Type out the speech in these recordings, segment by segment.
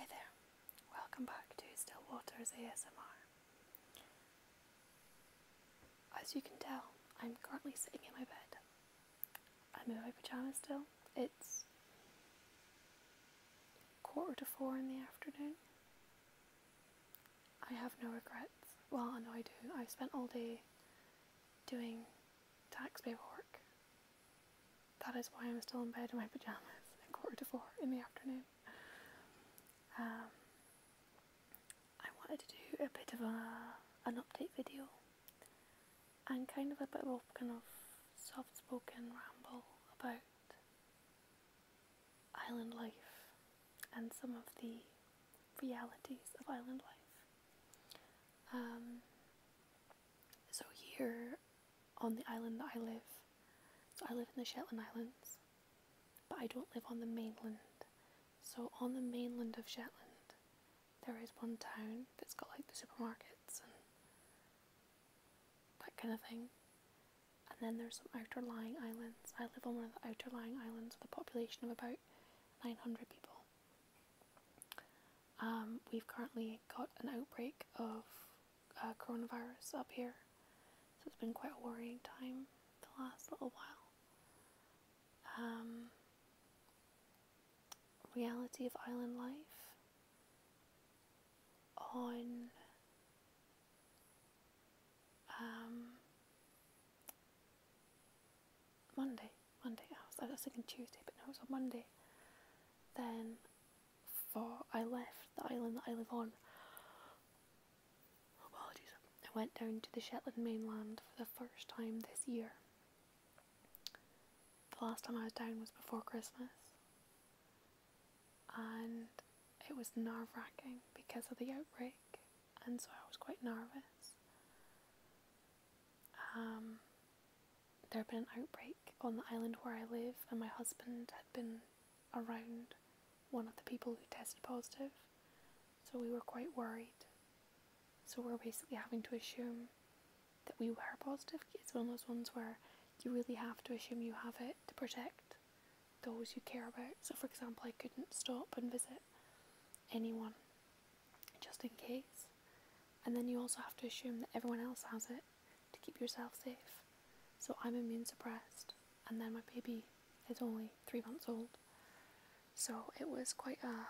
Hi there, welcome back to Still Waters ASMR. As you can tell, I'm currently sitting in my bed. I'm in my pyjamas still. It's quarter to four in the afternoon. I have no regrets. Well, I know I do. I've spent all day doing taxpayer work that is why I'm still in bed in my pajamas at quarter to four in the afternoon. Um, I wanted to do a bit of a an update video and kind of a bit of a kind of soft spoken ramble about island life and some of the realities of island life. Um, so here on the island that I live, so I live in the Shetland Islands, but I don't live on the mainland. So on the mainland of Shetland, there is one town that's got like the supermarkets and that kind of thing. And then there's some outer lying islands. I live on one of the outer lying islands with a population of about 900 people. Um, we've currently got an outbreak of uh, coronavirus up here, so it's been quite a worrying time the last little while. Um, reality of island life on um, Monday. Monday. I was, thinking Tuesday, but no, it was on Monday. Then, for I left the island that I live on. Oh, apologies. I went down to the Shetland mainland for the first time this year. The last time I was down was before Christmas, and it was nerve wracking because of the outbreak, and so I was quite nervous. Um, there had been an outbreak on the island where I live, and my husband had been around one of the people who tested positive, so we were quite worried. So we're basically having to assume that we were positive. It's one of those ones where you really have to assume you have it to protect those you care about. So, for example, I couldn't stop and visit anyone just in case. And then you also have to assume that everyone else has it to keep yourself safe. So I'm immune suppressed, and then my baby is only three months old. So it was quite a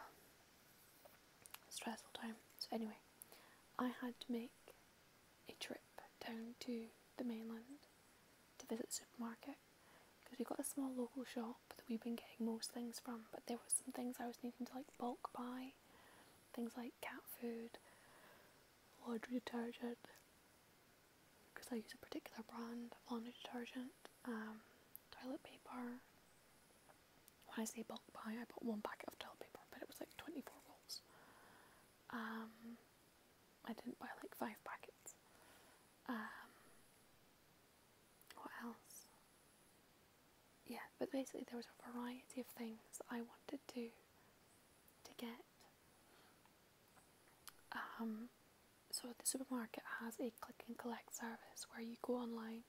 stressful time. So, anyway, I had to make a trip down to the mainland to visit the supermarket because we got a small local shop that we've been getting most things from, but there were some things I was needing to like bulk buy Things like cat food, laundry detergent, because I use a particular brand of laundry detergent, um, toilet paper. When I say bulk buy, I bought one packet of toilet paper, but it was like 24 rolls. Um, I didn't buy like five packets. Um, what else? yeah, but basically there was a variety of things that I wanted to to get. Um, so the supermarket has a click and collect service where you go online,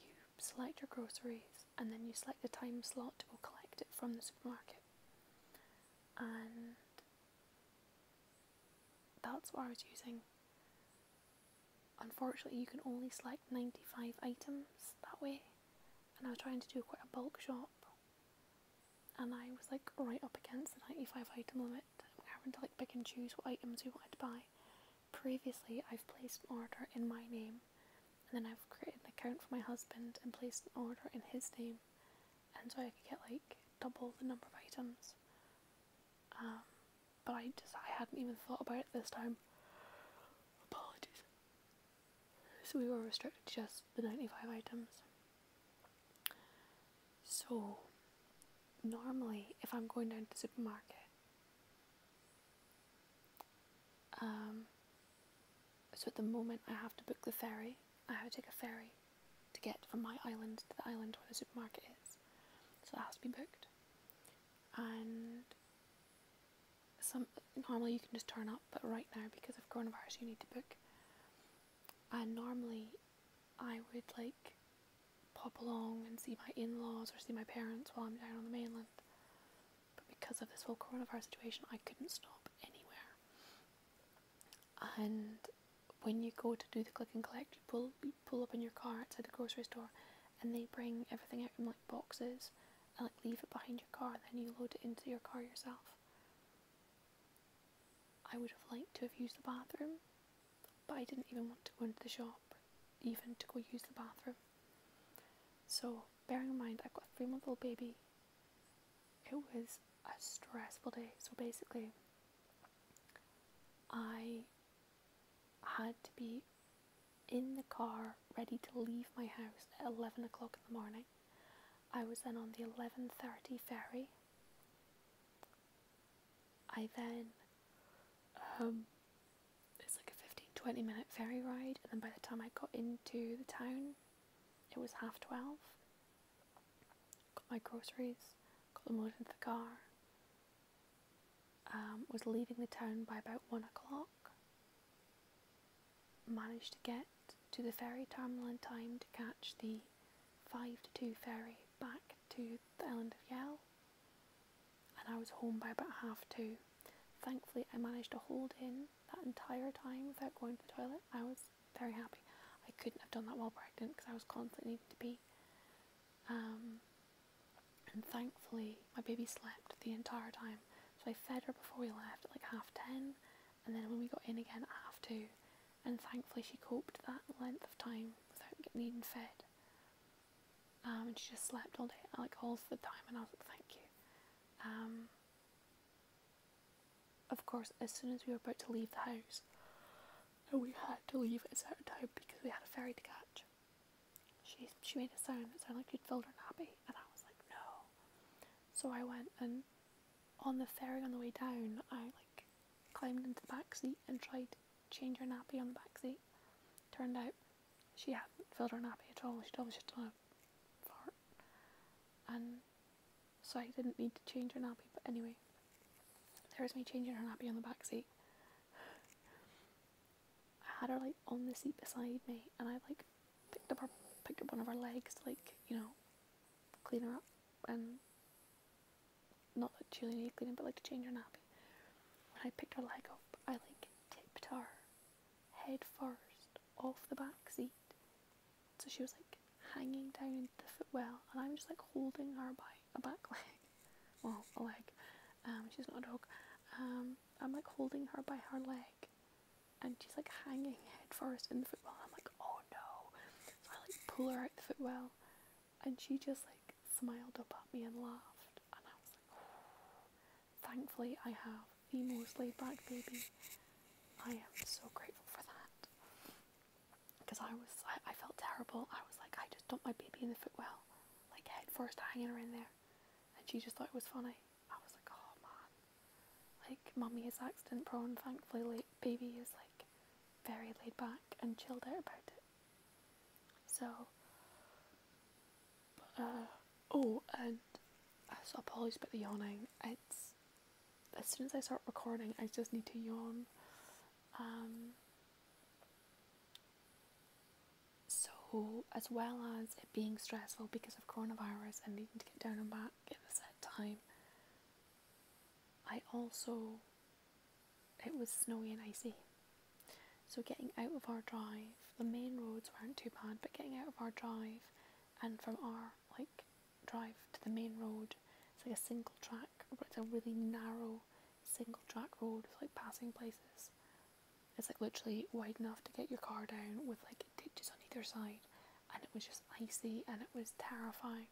you select your groceries, and then you select the time slot to go collect it from the supermarket. And that's what I was using. Unfortunately, you can only select 95 items that way, and I was trying to do quite a bulk shop, and I was like right up against the 95 item limit. having to like pick and choose what items we wanted to buy. Previously, I've placed an order in my name, and then I've created an account for my husband and placed an order in his name, and so I could get like double the number of items. Um, but I just I hadn't even thought about it this time. Apologies. So we were restricted to just the 95 items. So normally if I'm going down to the supermarket um, so at the moment I have to book the ferry. I have to take a ferry to get from my island to the island where the supermarket is. So that has to be booked and some normally you can just turn up, but right now because of coronavirus you need to book. And normally I would like pop along and see my in-laws or see my parents while I'm down on the mainland. But because of this whole coronavirus situation I couldn't stop anywhere. And when you go to do the click and collect you pull pull up in your car outside the grocery store and they bring everything out in like boxes and like leave it behind your car and then you load it into your car yourself. I would have liked to have used the bathroom, but I didn't even want to go into the shop, even to go use the bathroom. So, bearing in mind, I've got a three month old baby, it was a stressful day. So, basically, I had to be in the car ready to leave my house at 11 o'clock in the morning. I was then on the 11.30 ferry. I then, um, it's like a 15, 20 minute ferry ride and then by the time I got into the town, it was half 12. Got my groceries, got them loaded into the car, um, was leaving the town by about one o'clock. Managed to get to the ferry terminal in time to catch the 5 to 2 ferry back to the island of Yell, and I was home by about half two. Thankfully, I managed to hold in that entire time without going to the toilet. I was very happy. I couldn't have done that while pregnant because I was constantly needing to be. Um, and thankfully, my baby slept the entire time. So I fed her before we left at like half ten, and then when we got in again at half two. And thankfully, she coped that length of time without getting even fed. Um, and she just slept all day, like all the time, and I was like, thank you. Um, of course, as soon as we were about to leave the house, we had to leave at a certain time because we had a ferry to catch. She she made a sound that sounded like she'd filled her nappy, and I was like, no. So I went and on the ferry on the way down, I like climbed into the back seat and tried to change her nappy on the back seat. Turned out she hadn't filled her nappy at all. She'd obviously just done a fart, and so I didn't need to change her nappy. But anyway, there was me changing her nappy on the back seat, I had her like on the seat beside me, and I like picked up her, picked up one of her legs, like you know, clean her up, and not that she really needed cleaning, but like to change her nappy. When I picked her leg up, I like tipped her head first off the back seat, so she was like hanging down the footwell, and I'm just like holding her by a back leg, well, a leg. Um, she's not a dog. Um, I'm like holding her by her leg, and she's like hanging head first in the footwell. I'm like, oh no! I like pull her out the footwell, and she just like smiled up at me and laughed, and I was like, thankfully I have the most laid back baby. I am so grateful for that because I was I, I felt terrible. I was like, I just dumped my baby in the footwell, like head first hanging her in there, and she just thought it was funny. I was like, oh man, like mummy is accident prone. Thankfully, like, baby is like very laid back and chilled out about it. So, uh, oh, and so apologies about the yawning. It's as soon as I start recording, I just need to yawn. Um, so, as well as it being stressful because of coronavirus and needing to get down and back at a set time, I also, it was snowy and icy. So, getting out of our drive, the main roads weren't too bad, but getting out of our drive and from our like drive to the main road, it's like a single track, but it's a really narrow single track road with like passing places. It's like literally wide enough to get your car down with like ditches on either side, and it was just icy and it was terrifying.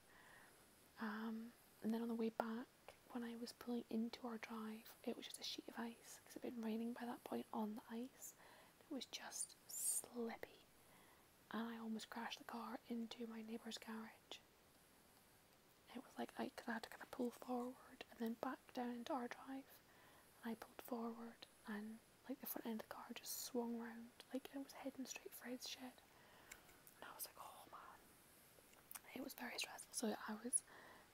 Um, and then on the way back, when I was pulling into our drive, it was just a sheet of ice because it had been raining by that point on the ice. It was just slippy, and I almost crashed the car into my neighbour's garage it was like I, I had to kind of pull forward and then back down into our drive and I pulled forward and like the front end of the car just swung round like it was heading straight for his shed and I was like oh man it was very stressful so I was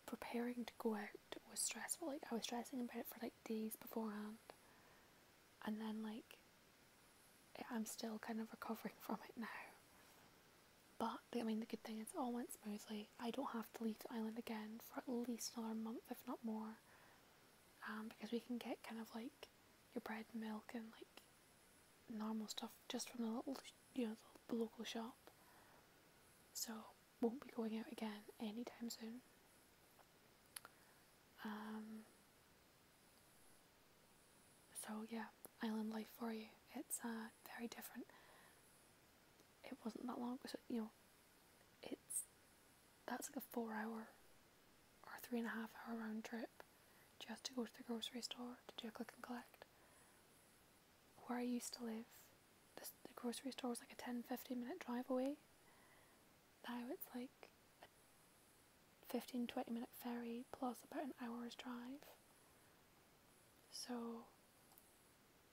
preparing to go out was stressful like I was stressing about it for like days beforehand and then like I'm still kind of recovering from it now but I mean, the good thing is it all went smoothly. I don't have to leave the island again for at least another month, if not more, um, because we can get kind of like your bread and milk and like normal stuff just from the little, you know, the local shop. So won't be going out again anytime soon. Um, so yeah, island life for you. It's uh, very different. It wasn't that long, you know, it's that's like a four-hour or three and a half hour round trip just to go to the grocery store to do a click and collect. Where I used to live, the, grocery store was like a 10 15 minute drive away. Now it's like 15 20 minute ferry plus about an hour's drive. So,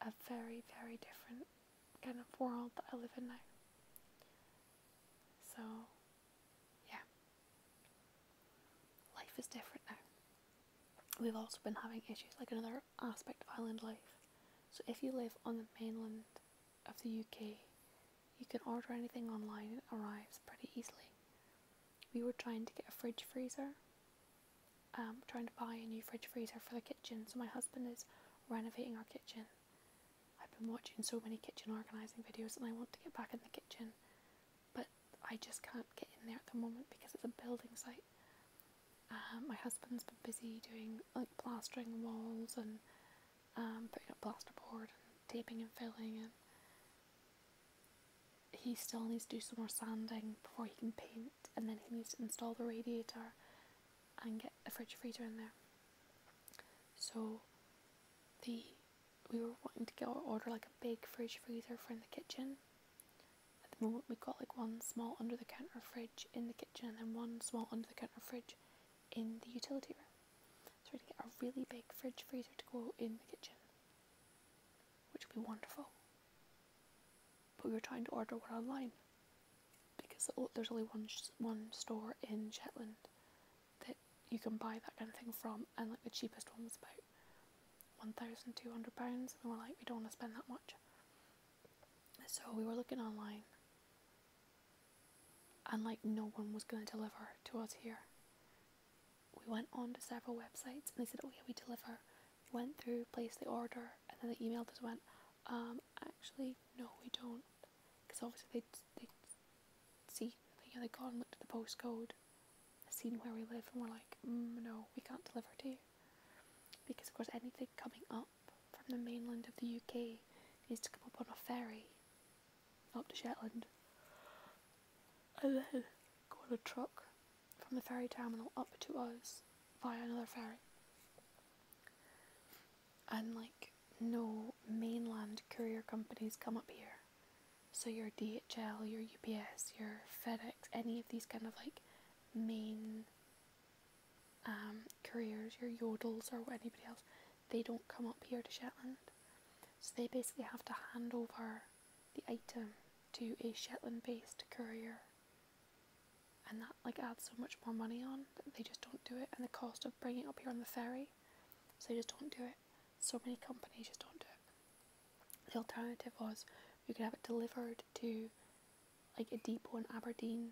a very, very different kind of world that I live in now. So, yeah. Life is different now. We've also been having issues, like another aspect of island life. So, if you live on the mainland of the UK, you can order anything online it arrives pretty easily we were trying to get a fridge freezer. Um, trying to buy a new fridge freezer for the kitchen. So my husband is renovating our kitchen. I've been watching so many kitchen organising videos and I want to get back in the kitchen, but I just can't get in there at the moment because it's a building site. Um, my husband's been busy doing like plastering walls and um, putting up plasterboard and taping and filling and he still needs to do some more sanding before he can paint, and then he needs to install the radiator and get the fridge freezer in there. So, the we were wanting to get order like a big fridge freezer for the kitchen. At the moment, we've got like one small under the counter fridge in the kitchen, and then one small under the counter fridge in the utility room. So we're going to get a really big fridge freezer to go in the kitchen, which will be wonderful. But we were trying to order one online because there's only one one store in Shetland that you can buy that kind of thing from, and like the cheapest one was about one thousand two hundred pounds, and we're like we don't want to spend that much. So we were looking online, and like no one was going to deliver to us here we went on to several websites and they said, oh yeah, we deliver. We went through, placed the order, and then they emailed us went, um, actually, no, we don't. Because obviously they they see, you know, they got and looked at the postcode, seen where we live, and we're like, mm, no, we can't deliver to you. Because of course, anything coming up from the mainland of the UK needs to come up on a ferry up to Shetland and then got a truck from the ferry terminal up to us via another ferry. And like no mainland courier companies come up here. So your DHL, your UPS, your FedEx, any of these kind of like main um, couriers, your yodels or anybody else, they don't come up here to Shetland. So they basically have to hand over the item to a Shetland based courier. And that like adds so much more money on that they just don't do it and the cost of bringing it up here on the ferry. So they just don't do it. So many companies just don't do it. The alternative was we could have it delivered to like a depot in Aberdeen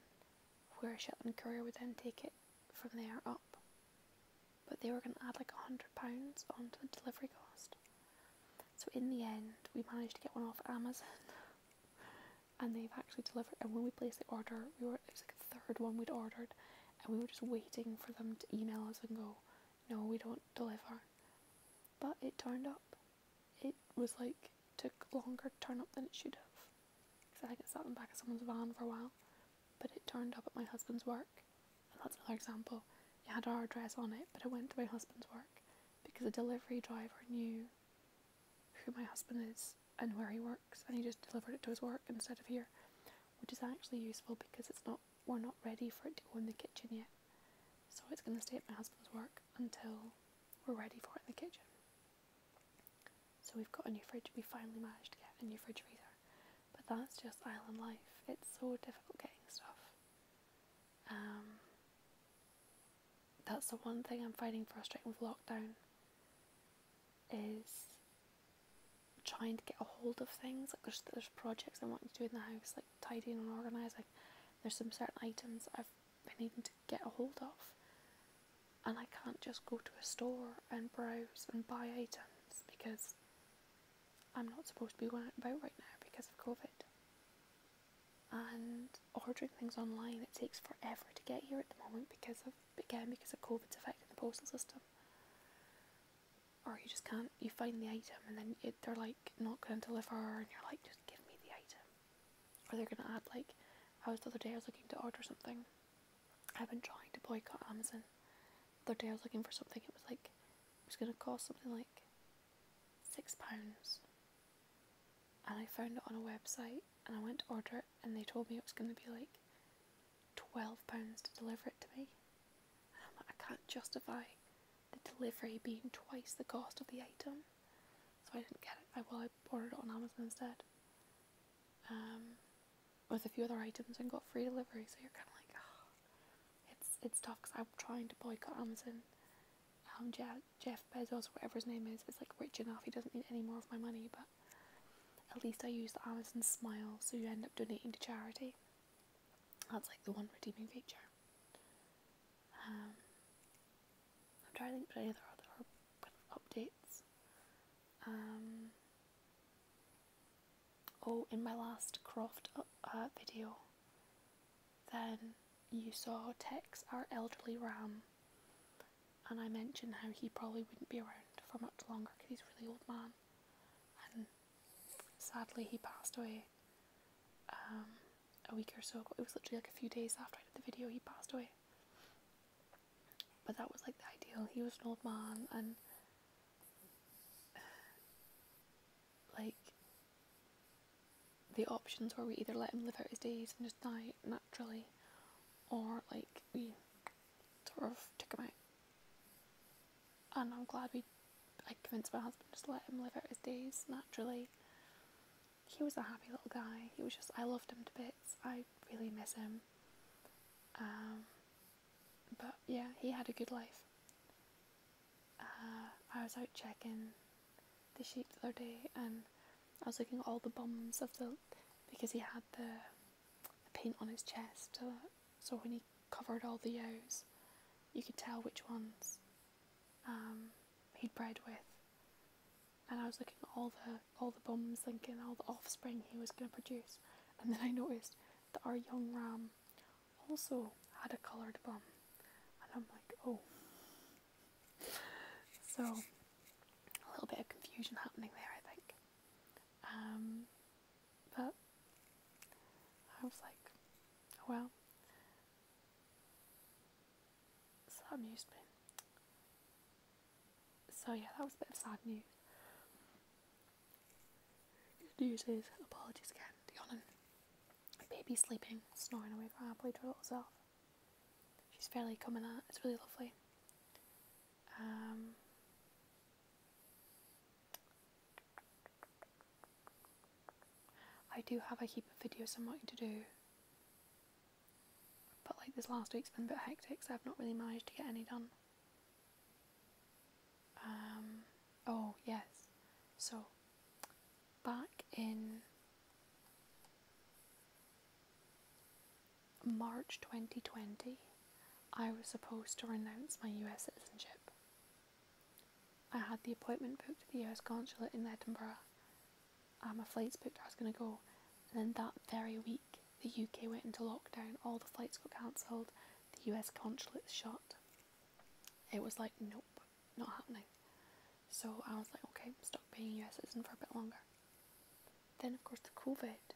where a Shetland courier would then take it from there up, but they were going to add like a hundred pounds onto the delivery cost. So in the end, we managed to get one off Amazon, and they've actually delivered. And when we placed the order, we were it was like the third one we'd ordered, and we were just waiting for them to email us and go, "No, we don't deliver." But it turned up. It was like took longer to turn up than it should have, because I think it sat in back of someone's van for a while but it turned up at my husband's work. And that's another example. It had our address on it, but it went to my husband's work because the delivery driver knew who my husband is and where he works, and he just delivered it to his work instead of here, which is actually useful because it's not we're not ready for it to go in the kitchen yet. So it's going to stay at my husband's work until we're ready for it in the kitchen. So we've got a new fridge. We finally managed to get a new refrigerator. But that's just island life. It's so difficult getting stuff. Um, that's the one thing I'm finding frustrating with lockdown is trying to get a hold of things. Like there's there's projects I want to do in the house, like tidying and organising. There's some certain items I've been needing to get a hold of and I can't just go to a store and bros and buy items because I'm not supposed to be going out about right now because of COVID. And ordering things online, it takes forever to get here at the moment because of, again, because of COVID's affecting the postal system. Or you just can't, you find the item and then it, they're like not going to deliver and you're like, just give me the item. Or they're going to add like, I was the other day, I was looking to order something I've been trying to boycott Amazon. The other day I was looking for something, it was like, it was going to cost something like £6. And I found it on a website and I went to order it and they told me it was going to be like £12 to deliver it to me. i can't justify the delivery being twice the cost of the item. So I didn't get it. I, well, I ordered it on Amazon instead. Um, with a few other items and got free delivery. So you're kind of like, oh, it's it's tough because I'm trying to boycott Amazon. Um, Jeff Bezos, whatever his name is, is like rich enough. He doesn't need any more of my money, but at least I use the Amazon Smile, so you end up donating to charity. That's like the one redeeming feature. Um, I'm trying to think of any other other updates. Um, oh, in my last Croft uh, uh, video, then you saw Tex, our elderly ram, and I mentioned how he probably wouldn't be around for much longer because he's really old man, and sadly he passed away um, a week or so ago. It was literally like a few days after I did the video, he passed away. But that was like the ideal. He was an old man and like the options were we either let him live out his days and just die naturally or like we sort of took him out. And I'm glad we I convinced my husband just let him live out his days naturally. He was a happy little guy. He was just I loved him to bits. I really miss him. Um, but yeah, he had a good life. Uh, I was out checking the sheep the other day and I was looking at all the bums of the because he had the, paint on his chest uh, so, when he covered all the ewes you could tell which ones um, he'd bred with and I was looking at all the all the bums thinking all the offspring he was going to produce. And then I noticed that our young ram also had a coloured bum. And I'm like, oh. So, a little bit of confusion happening there, I think. Um, but I was like, oh well. So that amused me so yeah, that was a bit of sad news. news is, apologies again, Diana. Baby sleeping, snoring away from our play herself. She's fairly coming out, it's really lovely. Um, I do have a heap of videos I'm wanting to do but like this last week's been a bit hectic, so I've not really managed to get any done. Um, oh, yes. So, back in March 2020, I was supposed to renounce my US citizenship. I had the appointment booked at the US consulate in Edinburgh. Um, and my flight's booked, I was going to go. And then that very week, the UK went into lockdown, all the flights got cancelled, the US consulates shut. It was like, nope, not happening. So I was like, okay, stuck being a US citizen for a bit longer. Then, of course, the COVID.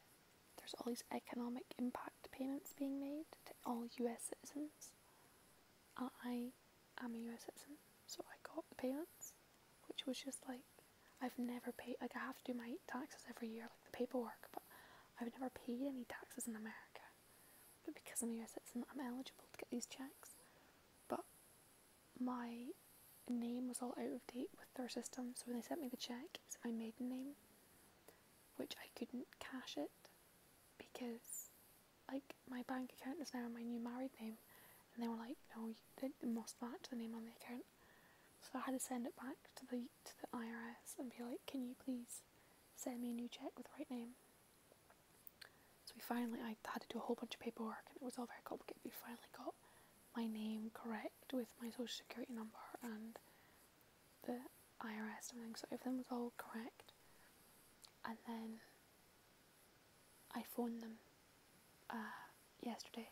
There's all these economic impact payments being made to all US citizens. I am a US citizen, so I got the payments, which was just like, I've never paid like I have to do my taxes every year, like the paperwork, but I've never paid any taxes in America. But because I'm a US citizen, I'm eligible to get these checks. But my name was all out of date with their system, so when they sent me the check, it was my maiden name, which I couldn't cash it because, like, my bank account is now my new married name, and they were like, no, you, it must match the name on the account. So I had to send it back to the to the IRS and be like, "Can you please send me a new check with the right name?" So we finally, I had to do a whole bunch of paperwork, and it was all very complicated. We finally got my name correct with my social security number and the IRS and everything. So everything was all correct, and then I phoned them uh, yesterday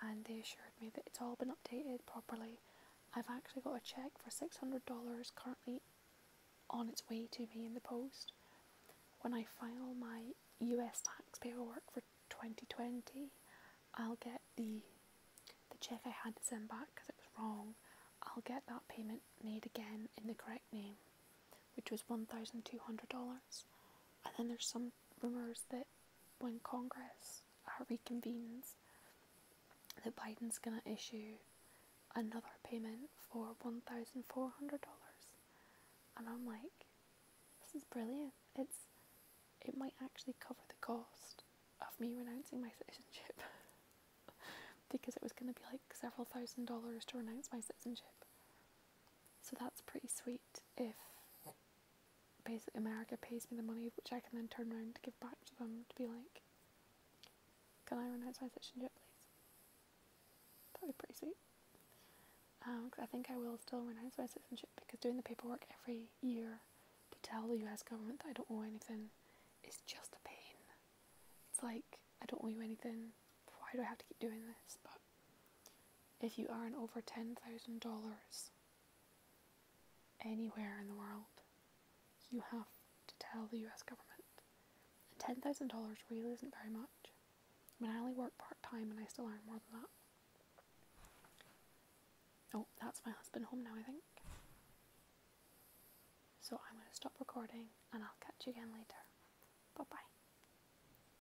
and they assured me that it's all been updated properly. I've actually got a check for $600 currently on its way to me in the post. When I file my US tax paperwork for 2020, I'll get the the check I had to send back because it was wrong. I'll get that payment made again in the correct name, which was $1,200. And then there's some rumors that when Congress uh, reconvenes, that Biden's going to issue another payment for $1,400. And I'm like, this is brilliant. It's It might actually cover the cost of me renouncing my citizenship. because it was going to be like several thousand dollars to renounce my citizenship. So that's pretty sweet if basically America pays me the money, which I can then turn around to give back to them to be like, can I run out my citizenship, please? That would be pretty sweet. Um, cause I think I will still run out my citizenship because doing the paperwork every year to tell the US government that I don't owe anything is just a pain. It's like, I don't owe you anything, why do I have to keep doing this? If you earn over $10,000 anywhere in the world, you have to tell the US government. $10,000 really isn't very much. I mean, I only work part time and I still earn more than that. Oh, that's my husband home now, I think. So I'm going to stop recording and I'll catch you again later. Bye bye.